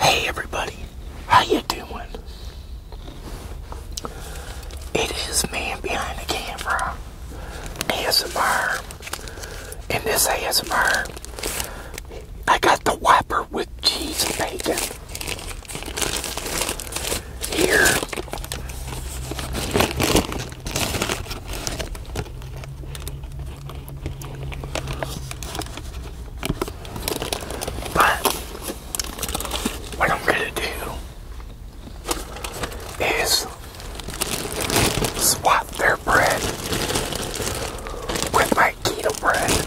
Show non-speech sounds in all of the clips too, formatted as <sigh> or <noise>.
Hey everybody, how you doing? It is man behind the camera, ASMR, and this is ASMR, I got the wiper with cheese and here. But what I'm gonna do is swap their bread with my keto bread.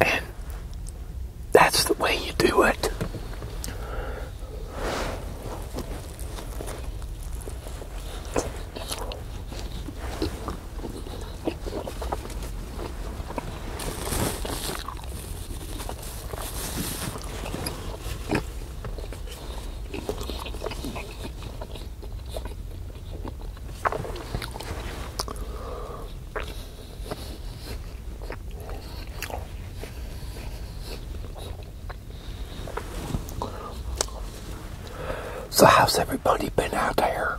And that's the way you do it. So how's everybody been out there?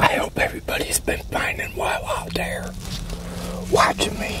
I hope everybody's been finding well out there watching me.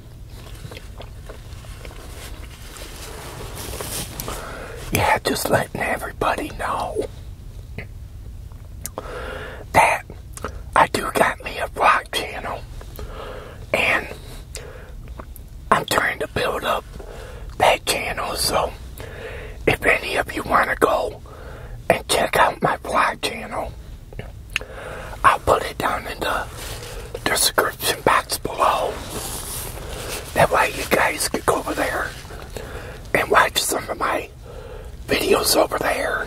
Yeah, just letting everybody know that I do got me a vlog channel and I'm trying to build up that channel so if any of you want to go and check out my vlog channel I'll put it down in the description box below. That way you guys can go over there and watch some of my videos over there.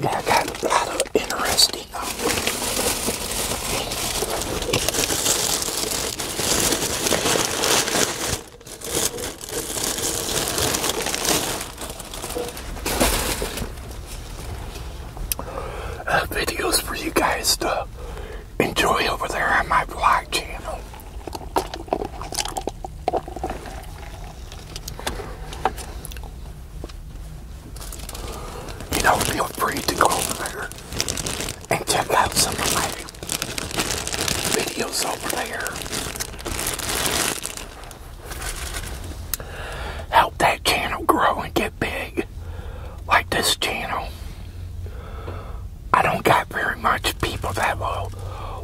Yeah, I got a lot of interesting uh, uh, videos for you guys to enjoy over there on my vlog channel. You know, feel free to go over there and check out some of my videos over there. Help that channel grow and get big like this channel. I don't got very much people that will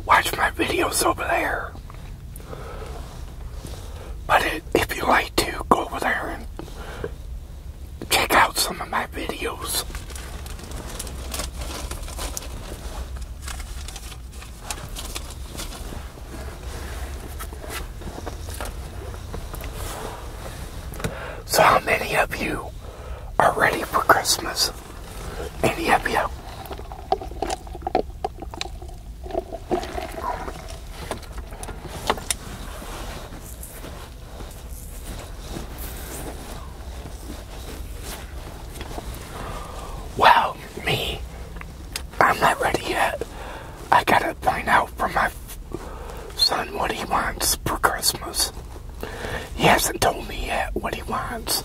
watch my videos over there. But if you like to, go over there and check out some of my videos. So how many of you are ready for Christmas? Maybe up here. Well, me, I'm not ready yet. I gotta find out from my son what he wants for Christmas. He hasn't told me yet what he wants.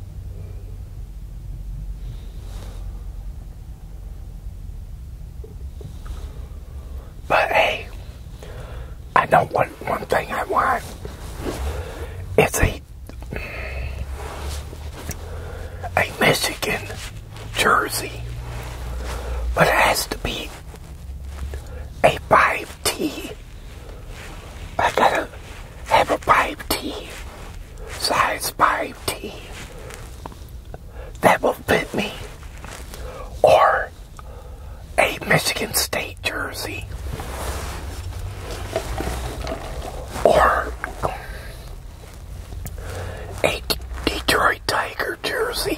But hey, I know one, one thing I want. It's a, a Michigan jersey. But it has to be a 5T. I gotta have a 5T size 5T that will fit me or a Michigan State jersey or a Detroit Tiger jersey.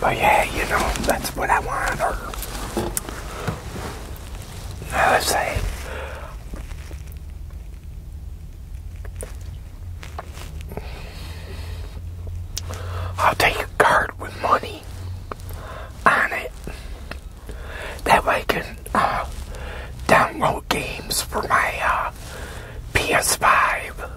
But yeah, you know, that's what I want. Or, let say, I'll take a card with money on it. That way I can uh, download games for my uh, PS5.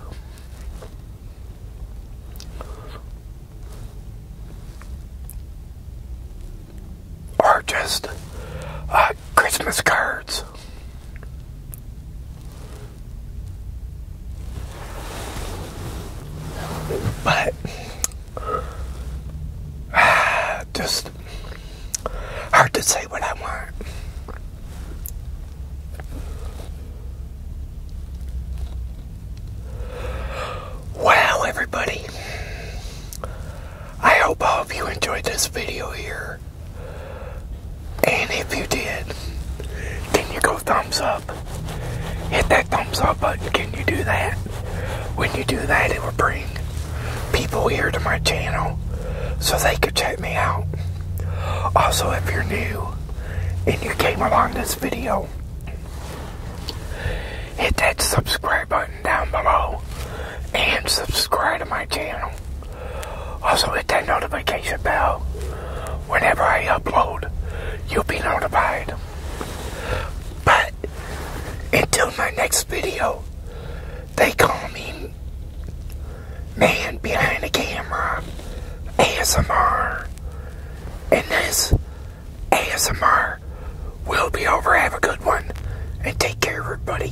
Or just uh, Christmas cards. But <sighs> just hard to say what I want. Wow, everybody. I hope all of you enjoyed this video here. And if you did, can you go thumbs up? Hit that thumbs up button. Can you do that? When you do that, it will bring people here to my channel so they could check me out. Also, if you're new and you came along this video, hit that subscribe button down below and subscribe to my channel. Also hit that notification bell. Whenever I upload, you'll be notified. But until my next video, they call me Man Behind the Camera ASMR. And this ASMR will be over. Have a good one and take care, everybody.